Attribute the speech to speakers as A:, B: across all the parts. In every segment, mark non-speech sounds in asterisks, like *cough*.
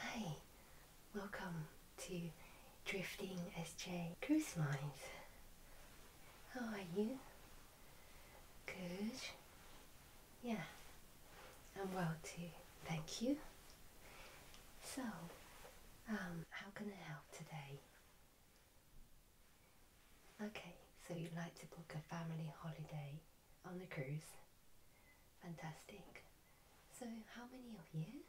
A: Hi, welcome to Drifting SJ Cruise Lines. How are you? Good. Yeah, I'm well too. Thank you. So, um, how can I help today? Okay, so you'd like to book a family holiday on the cruise. Fantastic. So how many of you?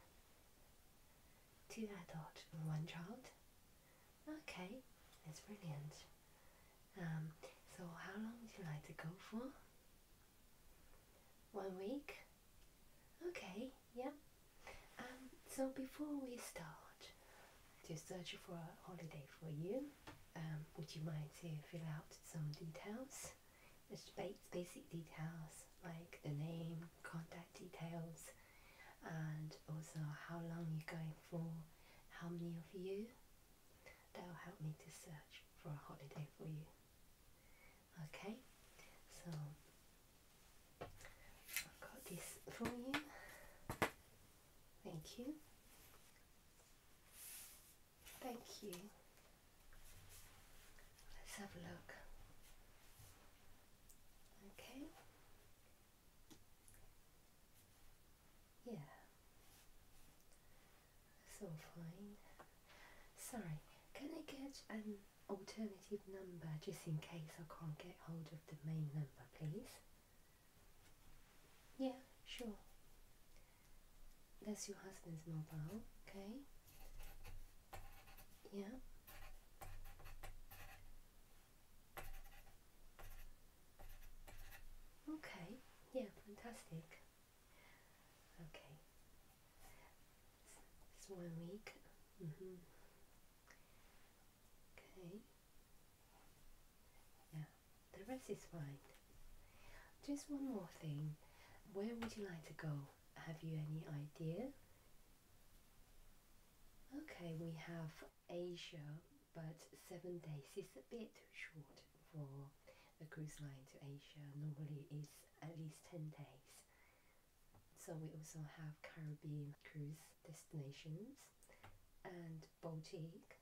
A: Two adults and one child? Okay, that's brilliant. Um, so how long would you like to go for? One week? Okay, yeah. Um, so before we start to search for a holiday for you, um, would you mind to fill out some details? There's basic details like the name, contact details, and also how long you're going for, how many of you. That will help me to search for a holiday for you. Okay, so I've got this for you. Thank you. Thank you. Let's have a look. Okay. Yeah. That's fine. Sorry, can I get an alternative number just in case I can't get hold of the main number, please? Yeah, sure. That's your husband's mobile, okay? Yeah. Okay, yeah, fantastic. Okay. It's one week. Mm -hmm. Okay. Yeah. The rest is fine. Just one more thing. Where would you like to go? Have you any idea? Okay, we have Asia, but seven days is a bit short for a cruise line to Asia. Normally it's at least 10 days. So we also have Caribbean cruise destinations and Baltic,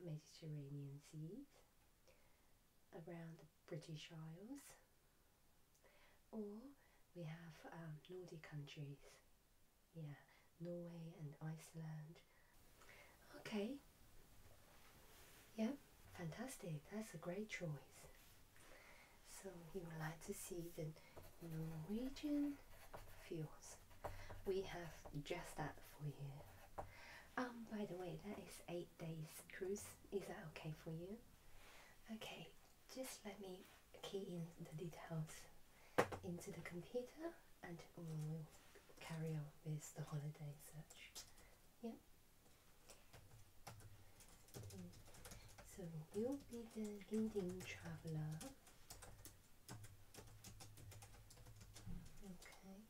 A: Mediterranean seas, around the British Isles, or we have um, Nordic countries, yeah, Norway and Iceland. Okay, yeah, fantastic, that's a great choice. So you would like to see the Norwegian fjords. We have just that for you. Um, by the way, that is is eight days cruise. Is that okay for you? Okay, just let me key in the details into the computer and we'll carry on with the holiday search. Yeah. So you'll be the leading traveller. Okay.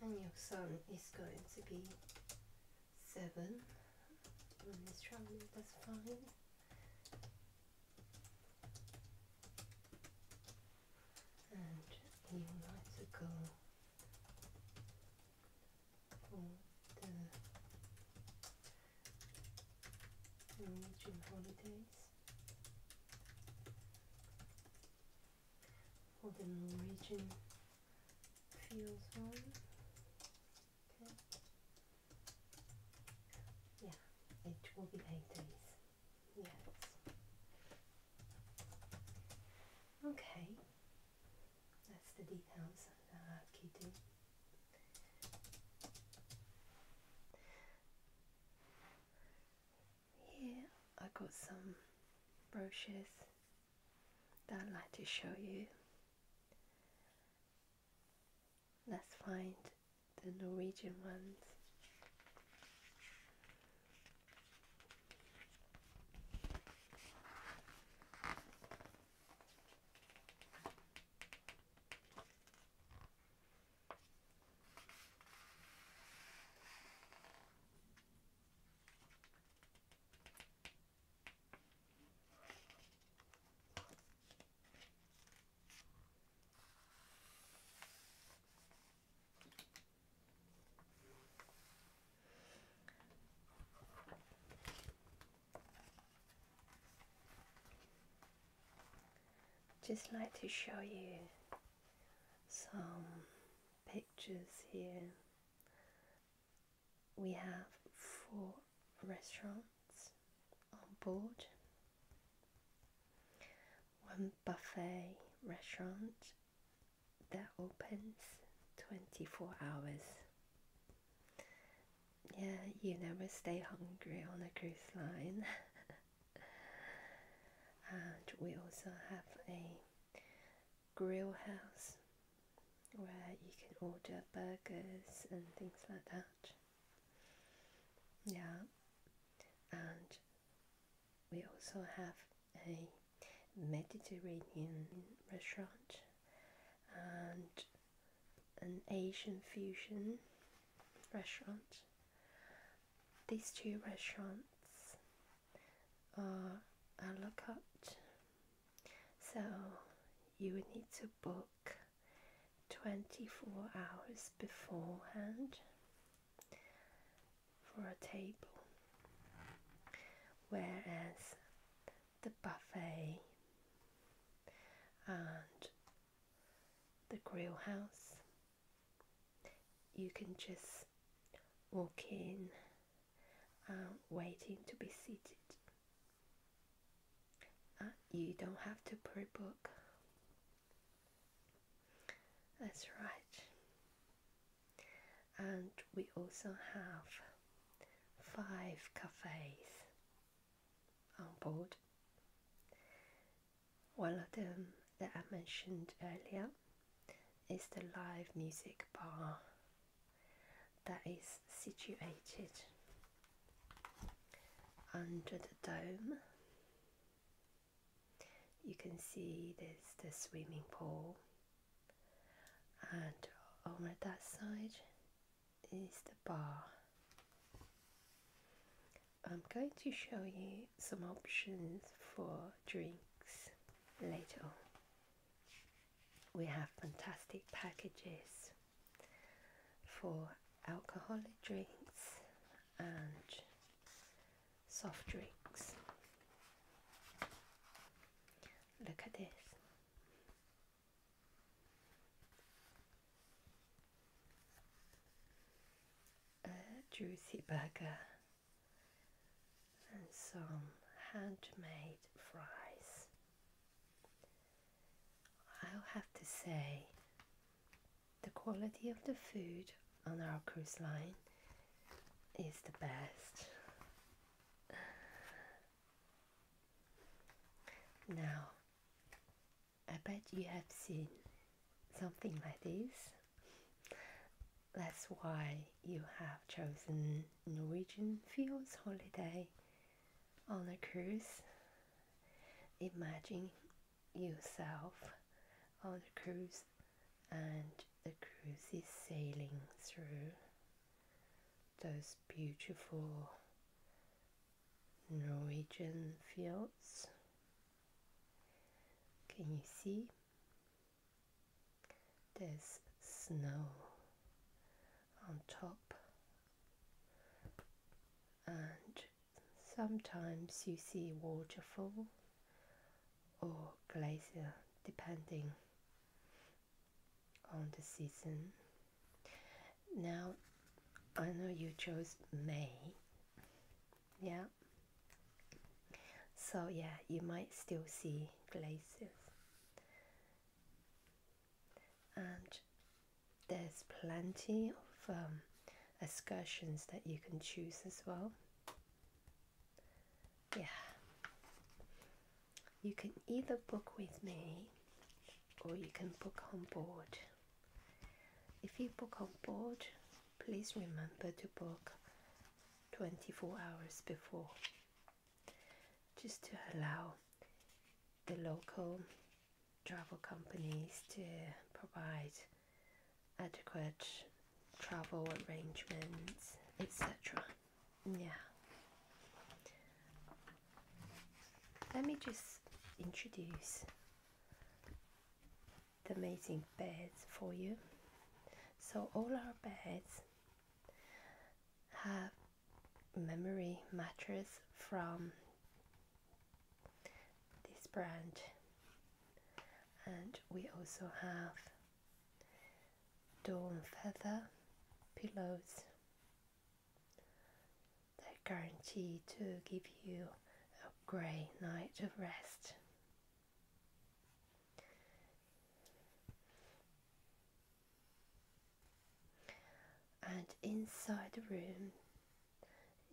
A: And your son is going to be seven on this that's fine. And you like to go for the Norwegian holidays. For the Norwegian feels warm. Okay. Yeah, it will be like Yes. Okay. That's the details of the kitty. Here I got some brochures that I'd like to show you. Let's find the Norwegian ones. Just like to show you some pictures here we have four restaurants on board, one buffet restaurant that opens 24 hours. Yeah, you never stay hungry on a cruise line. *laughs* and we also have a grill house where you can order burgers and things like that. Yeah, and we also have a Mediterranean restaurant and an Asian fusion restaurant. These two restaurants or uh, a lookout. So you would need to book 24 hours beforehand for a table, whereas the buffet and the grill house you can just walk in um, waiting to be seated. Ah, you don't have to pre-book. That's right. And we also have five cafes on board. One of them that I mentioned earlier is the live music bar that is situated under the dome. You can see there's the swimming pool, and on that side is the bar. I'm going to show you some options for drinks later on. We have fantastic packages for alcoholic drinks and soft drinks. Look at this. A juicy burger and some handmade fries. I'll have to say the quality of the food on our cruise line is the best. Now, I bet you have seen something like this that's why you have chosen Norwegian Fields Holiday on a cruise. Imagine yourself on a cruise and the cruise is sailing through those beautiful Norwegian fields. Can you see? There's snow on top, and sometimes you see waterfall or glacier depending on the season. Now, I know you chose May, yeah. So yeah, you might still see glaciers and there's plenty of um, excursions that you can choose as well. Yeah, you can either book with me or you can book on board. If you book on board, please remember to book 24 hours before just to allow the local travel companies to provide adequate travel arrangements, etc. Yeah. Let me just introduce the amazing beds for you. So all our beds have memory mattress from this brand and we also have dawn feather pillows that guarantee to give you a grey night of rest and inside the room,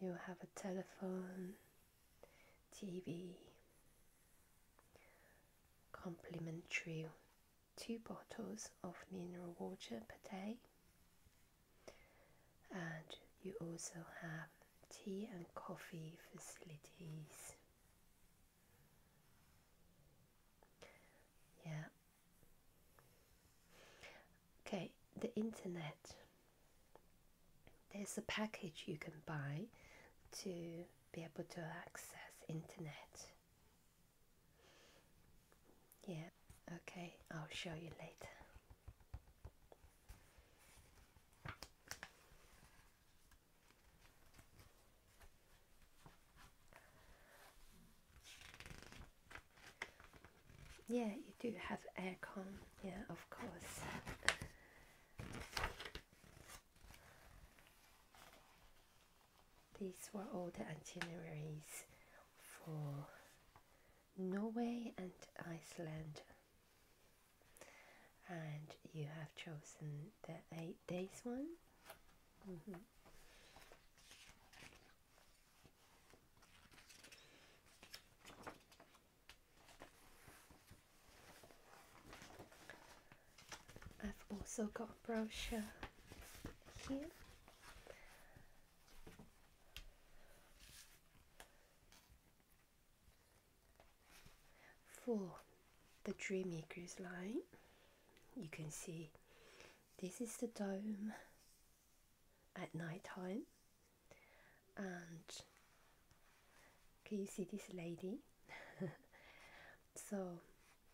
A: you have a telephone, TV, complimentary two bottles of mineral water per day, and you also have tea and coffee facilities. Yeah. Okay, the internet. There's a package you can buy to be able to access internet. Yeah, okay, I'll show you later. Yeah, you do have aircon, yeah, of course. These were all the itineraries for Norway and Iceland, and you have chosen the eight days one. I've also got brochure here. For the Dreammakers line, you can see this is the dome at night time and can you see this lady *laughs* so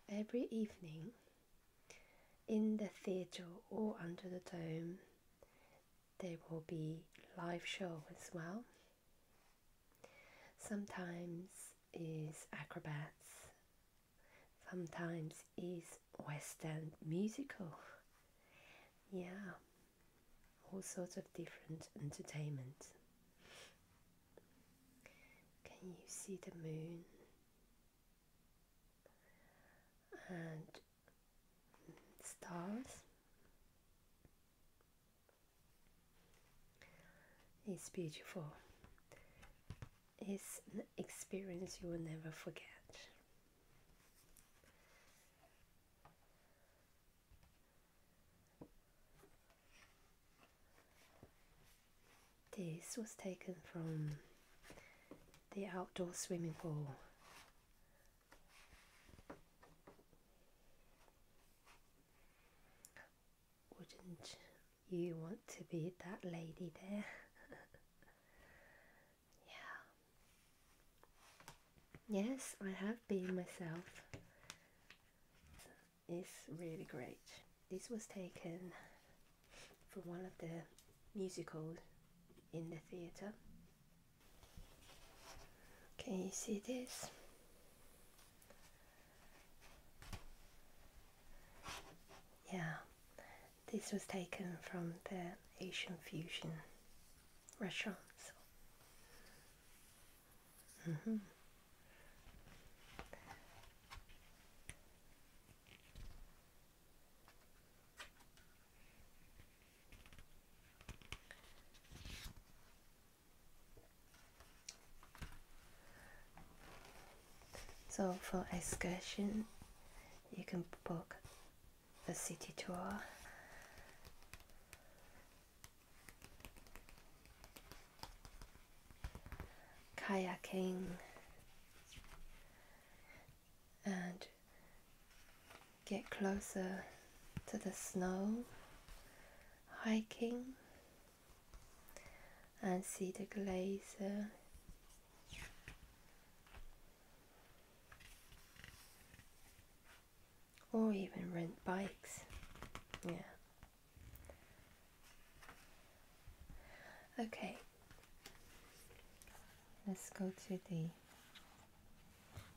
A: every evening in the theatre or under the dome there will be live show as well sometimes is acrobats, sometimes is Western musical. Yeah, all sorts of different entertainment. Can you see the moon? And stars? It's beautiful. It's an experience you will never forget. This was taken from the outdoor swimming pool wouldn't you want to be that lady there? *laughs* yeah. Yes, I have been myself. It's really great. This was taken for one of the musicals in the theatre. Can you see this? Yeah, this was taken from the Asian fusion restaurant. Mm-hmm. So for excursion, you can book a city tour. kayaking and get closer to the snow, hiking and see the glazer, or even rent bikes yeah okay let's go to the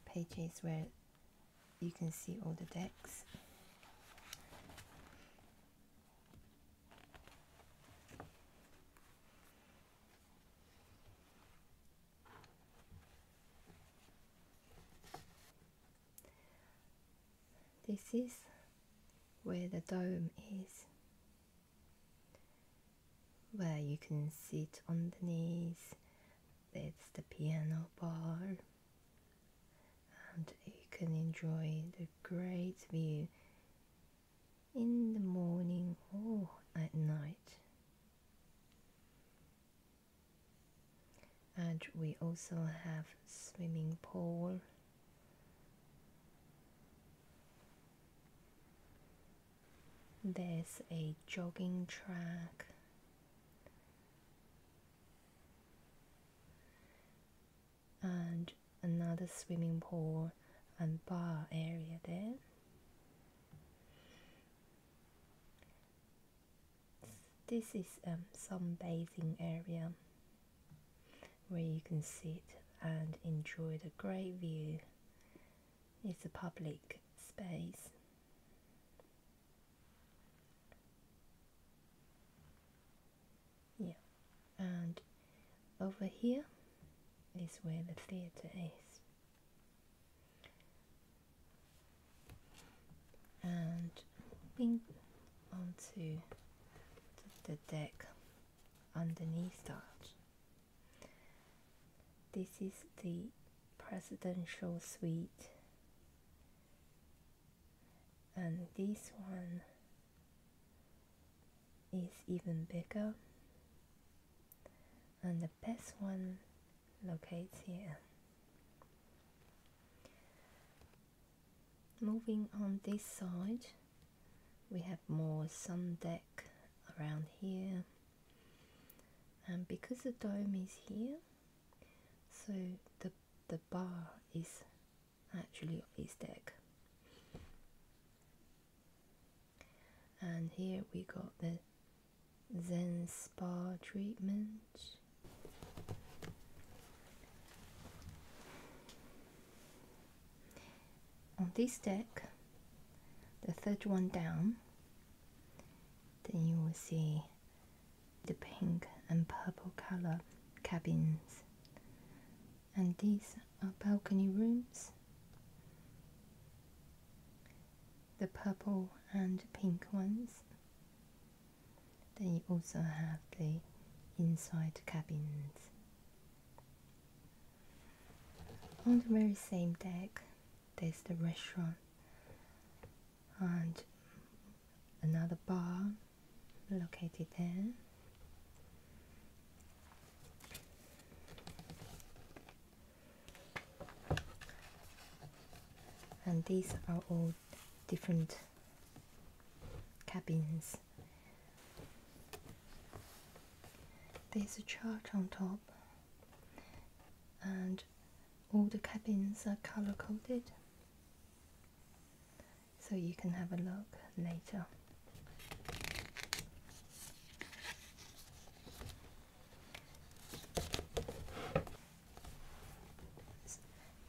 A: pages where you can see all the decks this is where the dome is, where you can sit on the knees. That's the piano bar, and you can enjoy the great view in the morning or at night. And we also have swimming pool. There's a jogging track and another swimming pool and bar area there. This is um, some bathing area where you can sit and enjoy the great view. It's a public space yeah and over here is where the theater is and onto the deck underneath that this is the presidential suite and this one is even bigger and the best one locates here moving on this side we have more sun deck around here and because the dome is here so the the bar is actually on this deck and here we got the Zen Spa treatment on this deck the third one down then you will see the pink and purple color cabins and these are balcony rooms. The purple and pink ones. Then you also have the inside cabins. On the very same deck, there's the restaurant, and another bar located there. And these are all different cabins. There's a chart on top, and all the cabins are color coded so you can have a look later.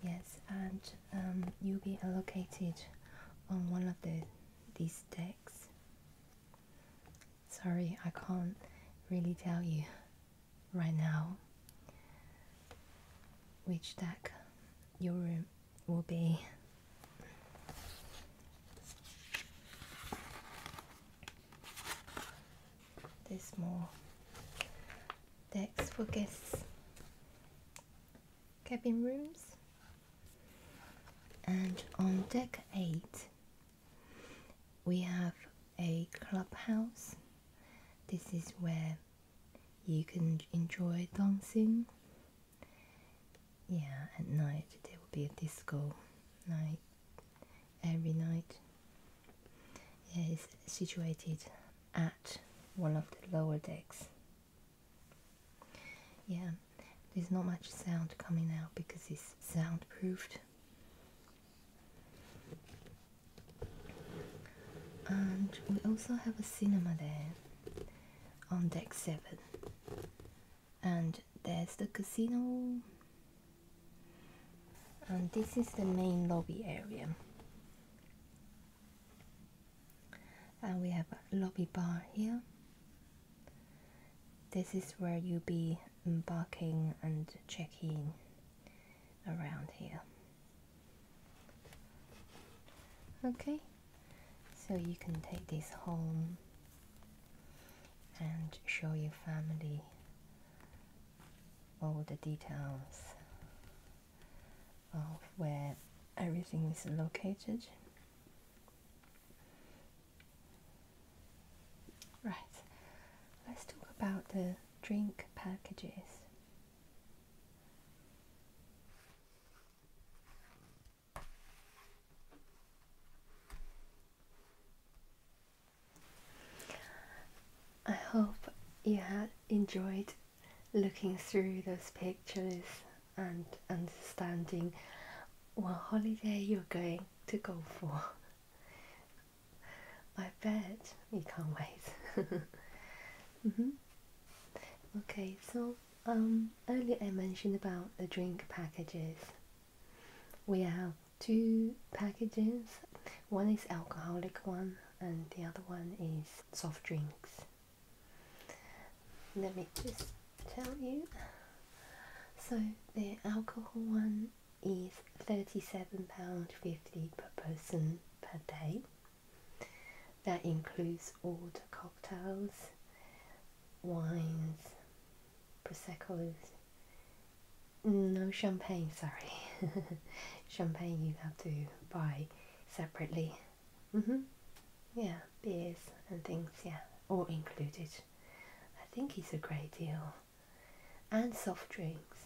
A: Yes, and um, you'll be allocated on one of the, these decks. Sorry, I can't really tell you right now which deck your room will be this more decks for guests cabin rooms and on deck 8 we have a clubhouse this is where you can enjoy dancing. Yeah, at night there will be a disco night every night. it's situated at one of the lower decks. Yeah, there's not much sound coming out because it's soundproofed. And we also have a cinema there on deck 7 and there's the casino and this is the main lobby area and we have a lobby bar here this is where you'll be embarking and checking around here Okay, so you can take this home and show your family all the details of where everything is located. Right, let's talk about the drink packages. I hope you had enjoyed looking through those pictures and understanding what holiday you're going to go for. *laughs* I bet you can't wait. *laughs* Mm-hmm. Okay, so um, earlier I mentioned about the drink packages. We have two packages. One is alcoholic one and the other one is soft drinks. Let me just tell you. So the alcohol one is £37.50 per person per day that includes all the cocktails, wines, prosecco's. No champagne, sorry. *laughs* champagne you have to buy separately. Mm -hmm. Yeah, beers and things, yeah, all included. I think it's a great deal. And soft drinks.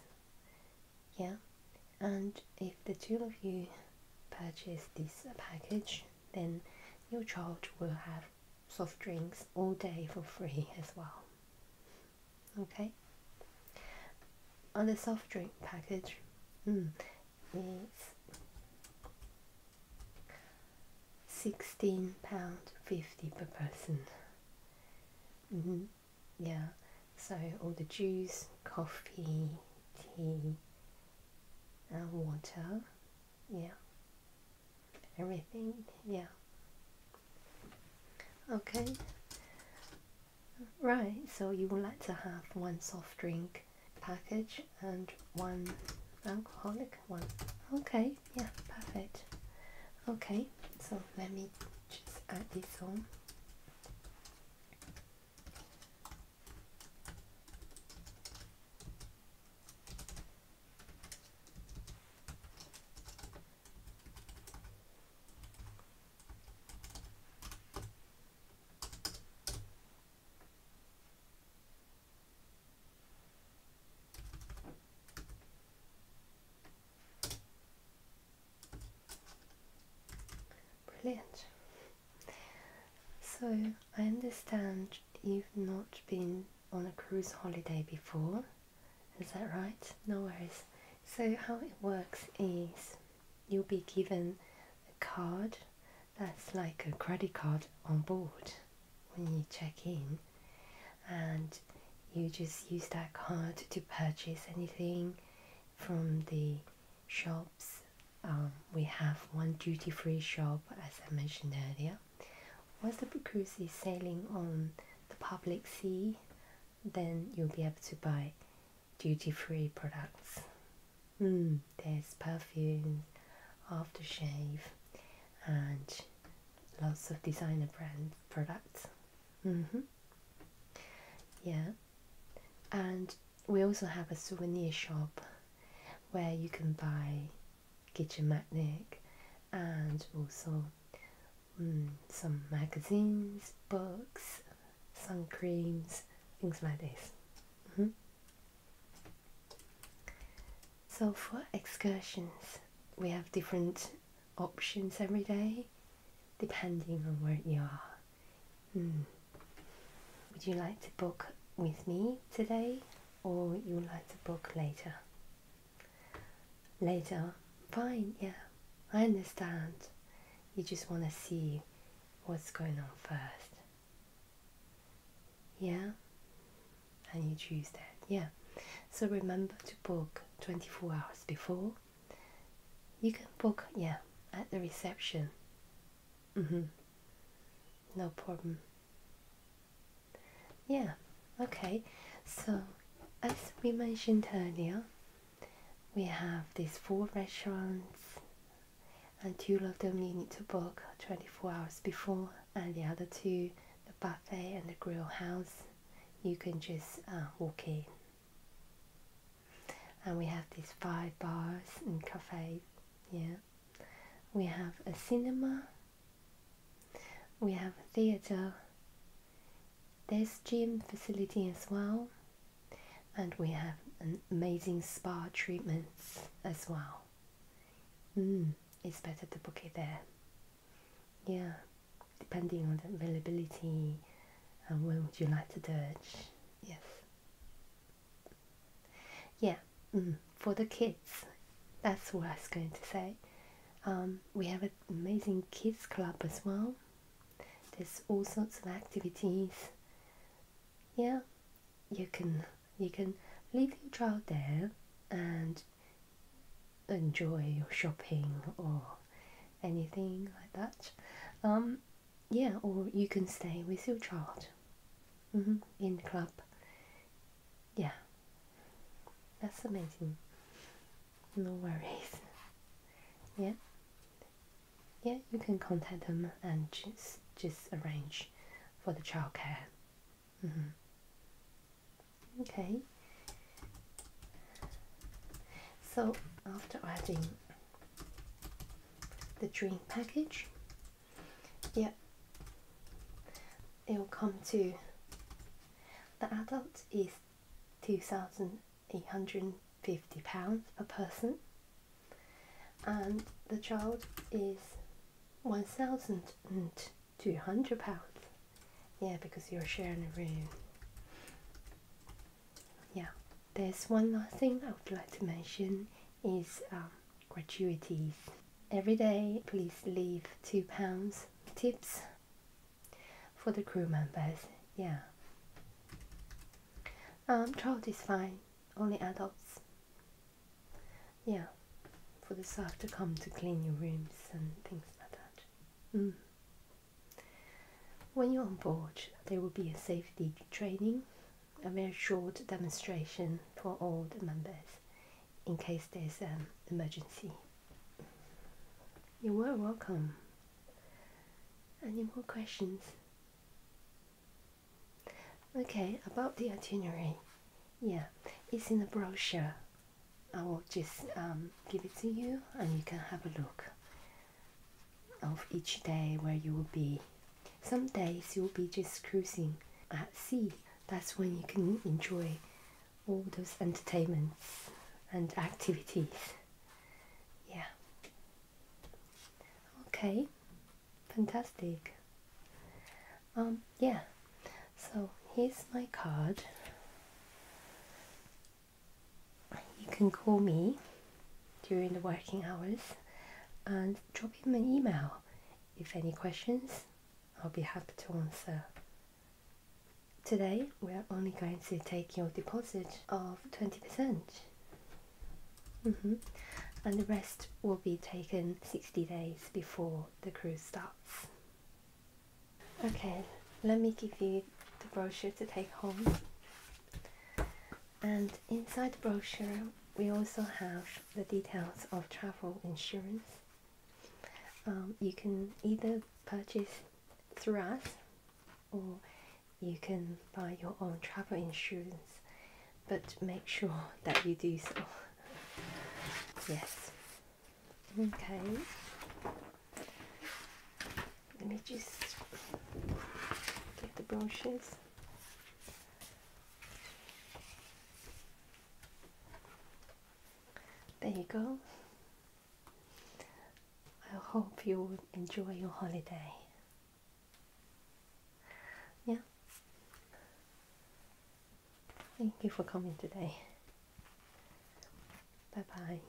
A: Yeah, and if the two of you purchase this package then your child will have soft drinks all day for free as well okay on the soft drink package hmm, it's 16 pound 50 per person mm-hmm. yeah so all the juice coffee tea uh, water, yeah, everything, yeah. Okay, right, so you would like to have one soft drink package and one alcoholic one. Okay, yeah, perfect. Okay, so let me just add this on. Brilliant. So, I understand you've not been on a cruise holiday before, is that right? No worries. So, how it works is you'll be given a card that's like a credit card on board when you check in, and you just use that card to purchase anything from the shops. Um, we have one duty-free shop, as I mentioned earlier. Once the cruise is sailing on the public sea, then you'll be able to buy duty-free products. Mm, there's perfume, aftershave, and lots of designer brand products. Mm -hmm. Yeah, and we also have a souvenir shop where you can buy kitchen magnet and also mm, some magazines, books, sun creams, things like this. Mm-hmm. So for excursions, we have different options every day depending on where you are. Hmm. Would you like to book with me today or you like to book later? Later? Fine, yeah, I understand. You just want to see what's going on first. Yeah? And you choose that, yeah. So remember to book 24 hours before. You can book, yeah, at the reception Mm-hmm. No problem. Yeah, okay. So, as we mentioned earlier, we have these four restaurants, and two of them you need to book 24 hours before, and the other two, the buffet and the grill house, you can just uh, walk in and we have these five bars and cafes, yeah we have a cinema we have a theater there's gym facility as well and we have amazing spa treatments as well mm, it's better to book it there yeah depending on the availability and when would you like to do it yes yeah, mm, for the kids, that's what I was going to say. Um, we have an amazing kids club as well. There's all sorts of activities. Yeah, you can you can leave your child there and enjoy your shopping or anything like that. Um, yeah, or you can stay with your child mm-hmm. in the club. Yeah, that's amazing. No worries. Yeah, yeah, you can contact them and just just arrange for the childcare. Mm -hmm. Okay. So after adding the dream package yeah it will come to the adult is 2850 pounds per person and the child is 1200 pounds yeah because you're sharing a room yeah there's one last thing I would like to mention is um, gratuities. Every day, please leave two pounds tips for the crew members. Yeah. Um, child is fine, only adults. Yeah, for the staff to come to clean your rooms and things like that. Mm. When you're on board, there will be a safety training a very short demonstration for all the members in case there's an um, emergency. You are welcome. Any more questions? Okay, about the itinerary. Yeah, it's in the brochure. I will just um, give it to you and you can have a look of each day where you will be. Some days you will be just cruising at sea. That's when you can enjoy all those entertainments and activities. Yeah. Okay. Fantastic. Um yeah. So here's my card. You can call me during the working hours and drop him an email if any questions. I'll be happy to answer. Today we are only going to take your deposit of 20%. Mm -hmm. And the rest will be taken 60 days before the cruise starts. Okay, let me give you the brochure to take home. And inside the brochure, we also have the details of travel insurance. Um, you can either purchase through us or you can buy your own travel insurance, but make sure that you do so. yes. Okay. Let me just get the brochures. There you go. I hope you would enjoy your holiday. Yeah. Thank you for coming today. Bye bye.